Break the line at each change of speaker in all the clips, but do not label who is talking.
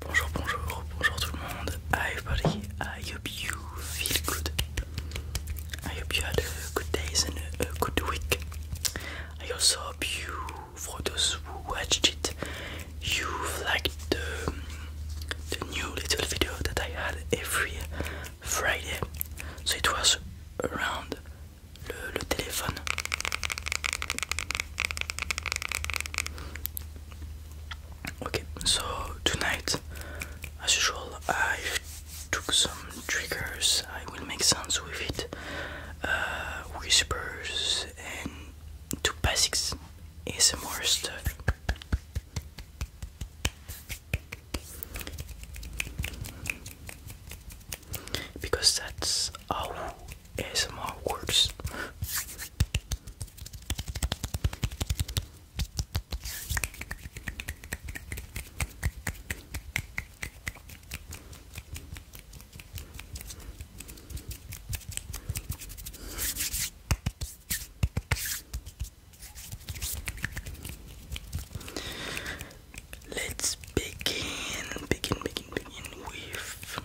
Bonjour, bonjour, bonjour tout le monde. Hi everybody, I hope you feel good. I hope you had a good day and a good week. I also hope you, for those who watched it, you liked the, the new little video that I had every Friday. So it was around the téléphone. Okay, so tonight, as usual, I took some triggers. I will make sounds with it, uh, whispers, and two basics more stuff. Because that's how ASMR works. Let's begin, begin, begin, begin with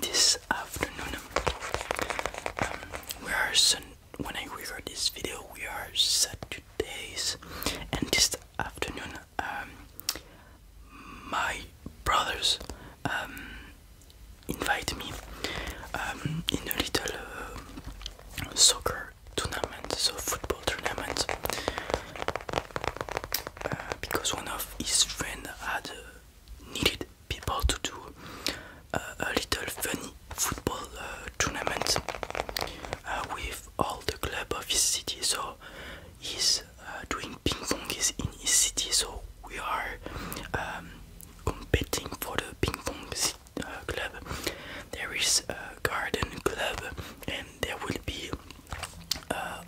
This afternoon, um, we are Sunday when I record this video, we are Saturdays, and this afternoon, um, my brothers um, invite me um, in a little uh, soccer tournament, so football tournament, uh, because one of his friends had uh, needed people to do a little funny football uh, tournament uh, with all the club of his city. So he's uh, doing ping pong is in his city. So we are um, competing for the ping pong uh, club. There is a garden club, and there will be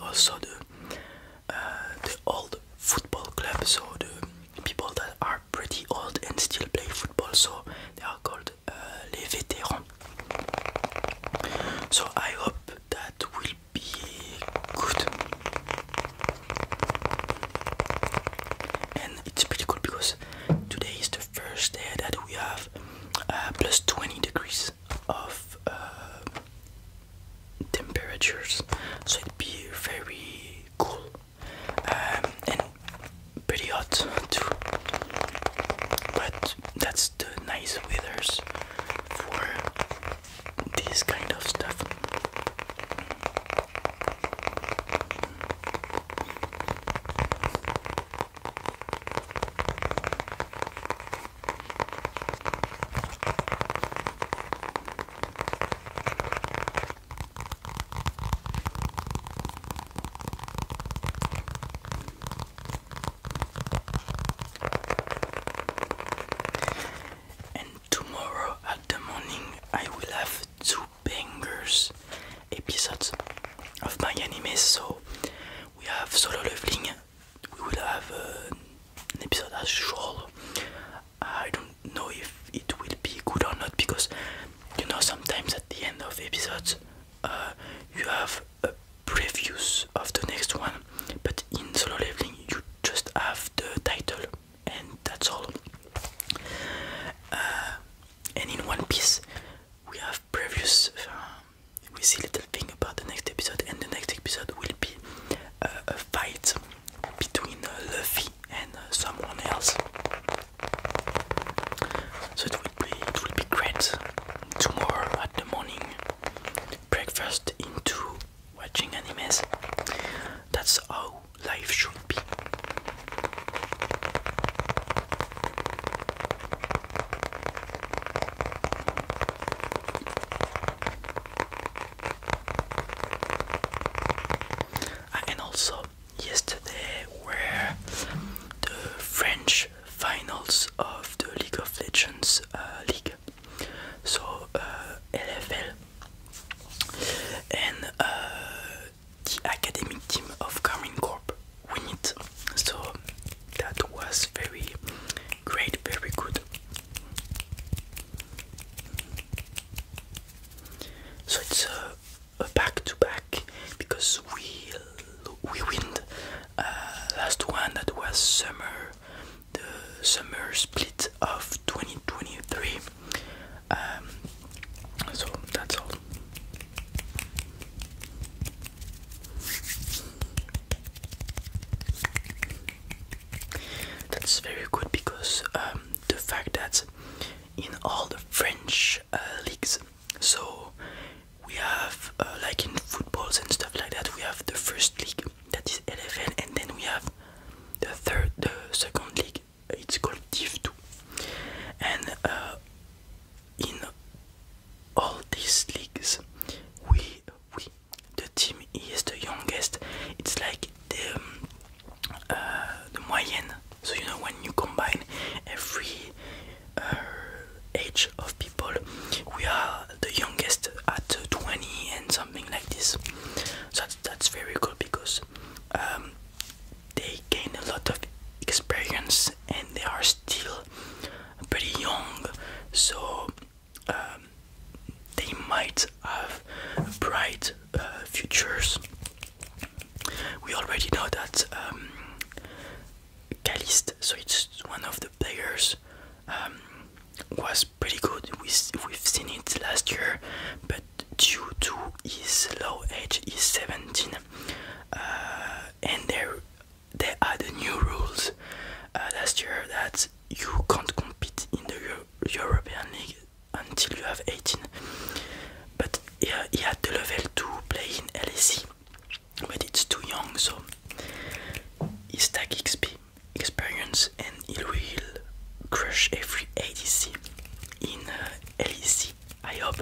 also the uh, the old football clubs. So the people that are pretty old and still play football. So they are called uh, veterans. So I hope that will be good. And it's pretty cool because today is the first day that we have uh, 20 degrees of uh, temperatures, so it'd be very cool. Um, and pretty hot too. But that's the nice weathers for this kind of stuff. And tomorrow at the morning, I will have two bangers episodes of my anime. So we have solo leveling. We will have uh, an episode as usual. I don't know if it will be good or not because you know sometimes at the end of episodes uh, you have a previews of the next one, but in solo leveling you just have the title and that's all. Uh, and in One Piece we have previews. Uh, we see little thing about the next episode, and the next episode will be a fight between Luffy and someone else. So it will be it will be great tomorrow at the morning breakfast into watching animes. That's how life should be. And also, yesterday were the French finals of the League of Legends uh, League, so LFL, uh, and uh, the academic team of Carmine Corp win it. So that was very great, very good. So it's a back to back because we we win the uh, last one that was summer the summer split of 2023 um, so that's all that's very good because um, the fact that in all the French uh, leagues so we have uh, like in footballs and stuff like that, we have the first league that is LFL, and then we have the third, the second league. It's called Tiv. 2, and uh, in all these leagues, we we the team is the youngest. It's like the uh, the moyenne. So you know when you combine every uh, age of people. We are the youngest at 20 and something like this. So that's, that's very good cool because um, they gain a lot of experience and they are still pretty young. So um, they might have bright uh, futures we already know that um, Calist, so it's one of the players, um, was pretty good. We, we've seen it last year, but due to his low age, he's 17, uh, and there are the new rules uh, last year that you can't compete in the European League until you have 18. But he, he had the level to play in LSC but it's too young so he stack XP experience and he will crush every ADC in uh, I hope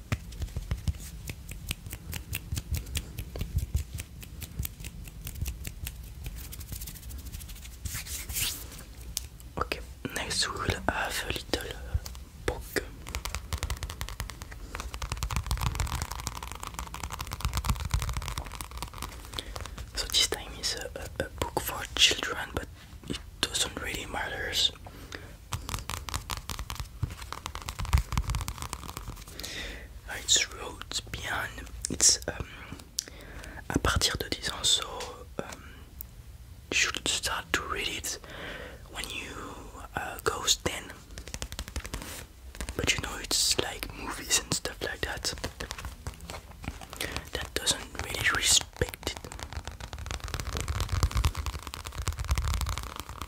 Okay, next we will have a little book. So this time is a, book for children, but it doesn't really matter Ah, it's wrote bien. It's um, à partir de 10 ans, so um, you should start to read it when you uh, go 10. But you know, it's like movies and stuff like that. That doesn't really respect it.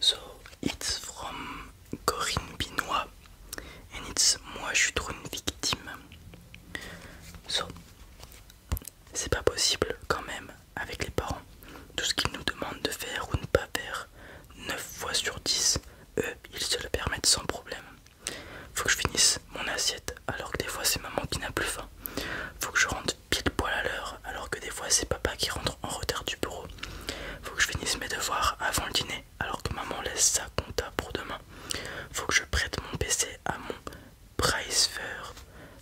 So it's from Corinne Binois and it's Moi je suis trop une victime. c'est pas possible quand même avec les parents. Tout ce qu'ils nous demandent de faire ou ne pas faire, 9 fois sur 10, eux, ils se le permettent sans problème. Faut que je finisse mon assiette alors que des fois c'est maman qui n'a plus faim. Faut que je rentre pile poil à l'heure alors que des fois c'est papa qui rentre en retard du bureau. Faut que je finisse mes devoirs avant le dîner alors que maman laisse sa compta pour demain. Faut que je prête mon PC à mon Pricefer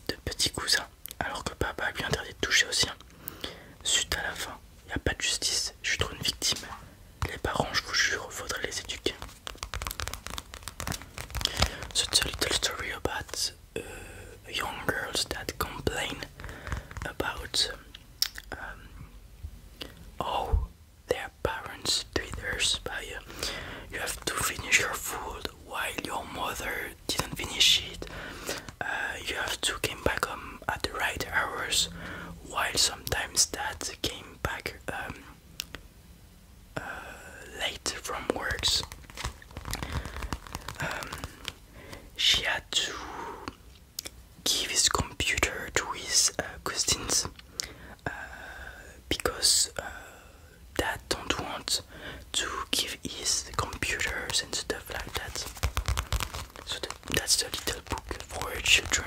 de petit cousin, alors que papa lui interdit de toucher au sien. Suite à la fin, il n'y a pas de justice, je suis trop une victime. Les parents, je vous jure, faudrait les éduquer. So une petite histoire young girls that complain about um, their parents treat their by you. You have to finish your food while your mother didn't finish it. Uh, you have to came back home um, at the right hours, while sometimes dad came back um, uh, late from works. Um, she had to give his computer to his uh, cousins Euh, because uh, dad don't want to give his computers and stuff like that. So that's the little book for children.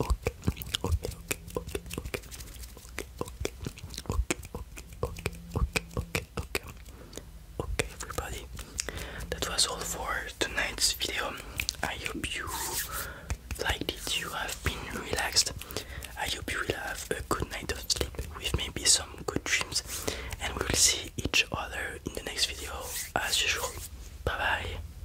okay, okay, okay, okay, okay, okay, okay, okay, okay, okay, okay, okay. Okay, everybody, that was all for tonight's video. I hope you liked it, you have been relaxed. I hope you will have a good night of sleep with maybe some good dreams, and we will see each other in the next video as usual. Bye bye.